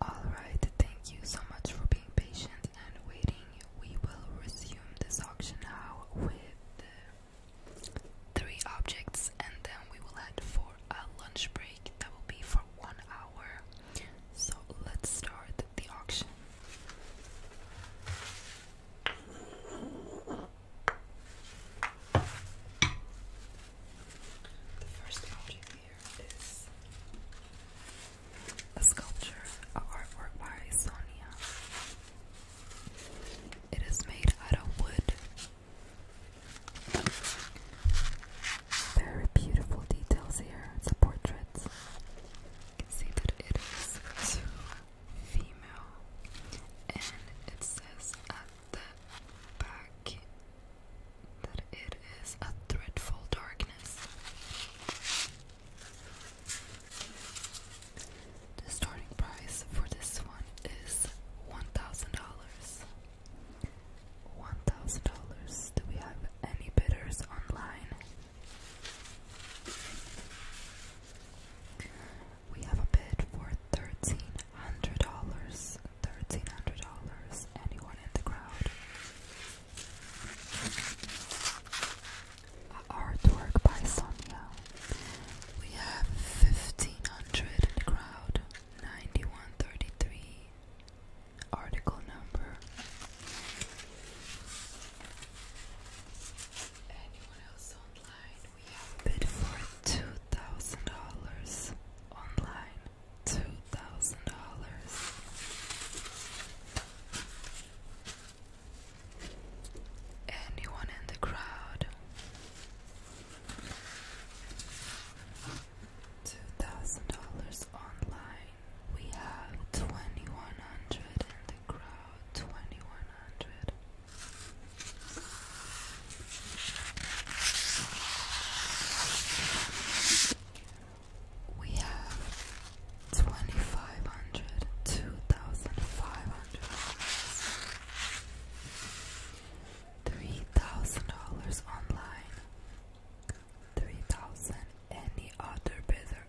Alright, thank you so much for being patient and waiting. We will resume this auction now with three objects and then we will head for a lunch break that will be for one hour. So let's start the auction. The first object here is a sculpture, a artwork by Sonia. It is made out of wood. Very beautiful details here. It's a portrait. You can see that it female, and it says at the back that it is a dreadful darkness. The starting price for this one is one thousand dollars. One thousand dollars. Do we have any bidders online? We have a bid for thirteen hundred dollars. Thirteen hundred dollars. Anyone in the crowd? Artwork by Sonia. We have fifteen hundred in the crowd. Ninety-one thirty-three. Article number Anyone else online? We have bid for two thousand dollars online. Two thousand dollars. Anyone in the crowd? Two thousand dollars online. We have twenty one hundred in the crowd twenty one hundred. We have twenty five hundred, two thousand five hundred, three thousand dollars online, three thousand. Any other bidder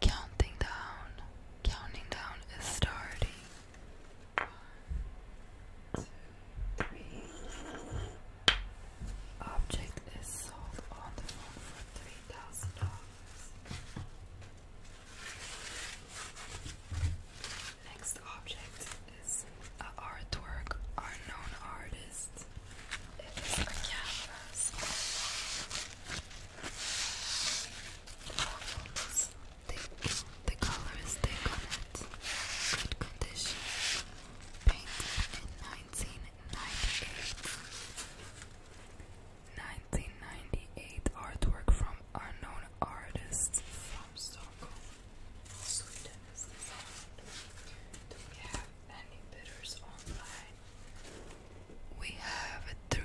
Counting down. Counting down is starting. Object is sold on the phone for three thousand dollars. Next object is an artwork or artist. It is a canvas almost thick. The color thick on it. Good condition. Painted in 1998. 1998 artwork from unknown artists Stockholm. Sweden Do we have any bidders online? We have a $300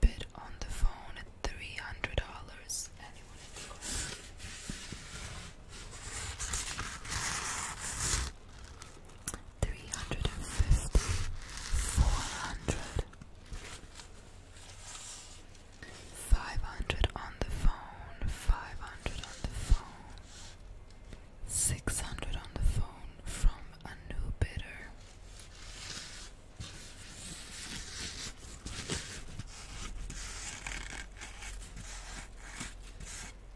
bid on the phone at $300. Anyone in Three hundred and fifty, four hundred, five hundred on the phone, five hundred on the phone, six hundred on the phone from a new bidder,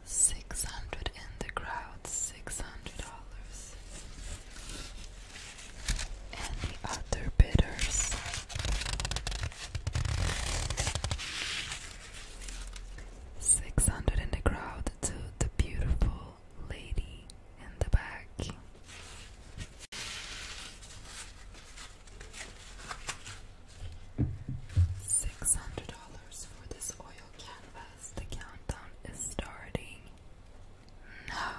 Six hundred in the crowd, six hundred dollars. Any other bidders? Six hundred in the crowd to the beautiful lady in the back. Six hundred dollars for this oil canvas. The countdown is starting. No.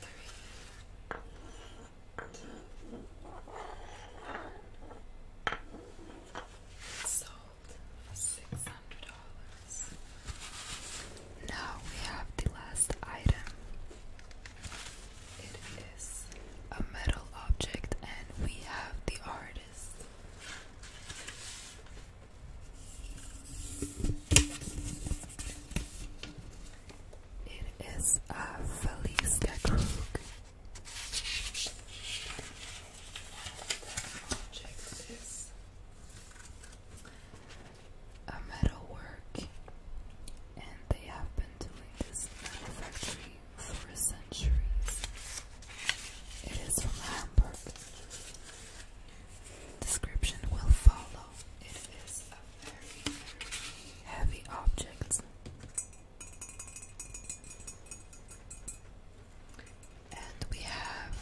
Three. $600. Now we have the last item. It is a metal object, and we have the artist. It is a Feliz Krug a metal and they have been doing this metal factory for centuries. It is from Hamburg. Description will follow. It is a very heavy object. And we have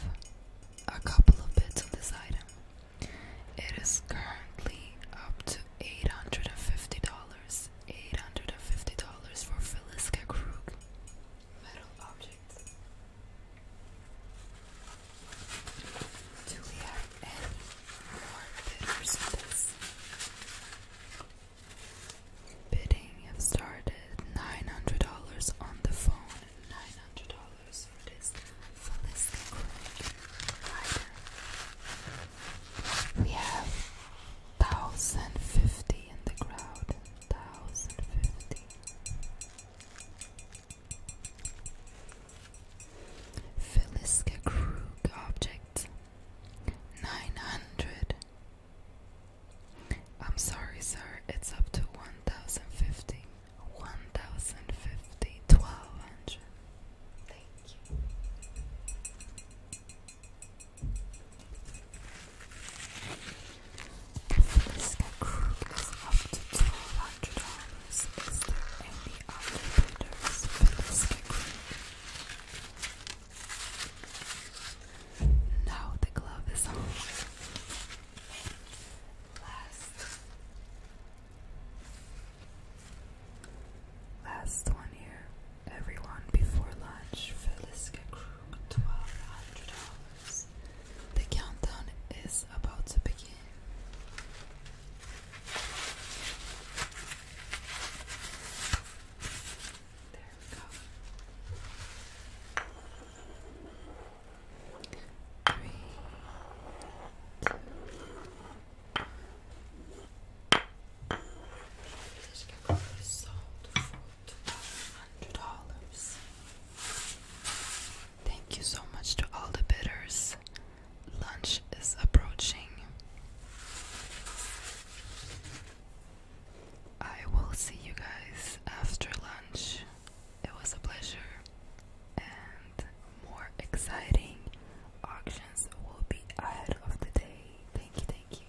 a couple of bids on this item. It is currently up to $850. $850 for Feliska Krug metal object. Do we have any more bidders on this? Bidding have started $900 on the phone dollars for this Felisca rider. We have 1050 in the crowd. 1050. Felisca Krug object. 900. I'm sorry, sir, it's up to 1050. 1050, 1200. Thank you. Feliska Crook is up to $1,200. Is there any other bidders? Feliska Crook. Now the glove is on. Last Last one here. Everyone before lunch. Feliska Krug, twelve hundred dollars. The countdown is about to begin. There we go three, Thank you so much to all the bidders. Lunch is approaching. I will see you guys after lunch. It was a pleasure, and more exciting auctions will be ahead of the day. Thank you, thank you.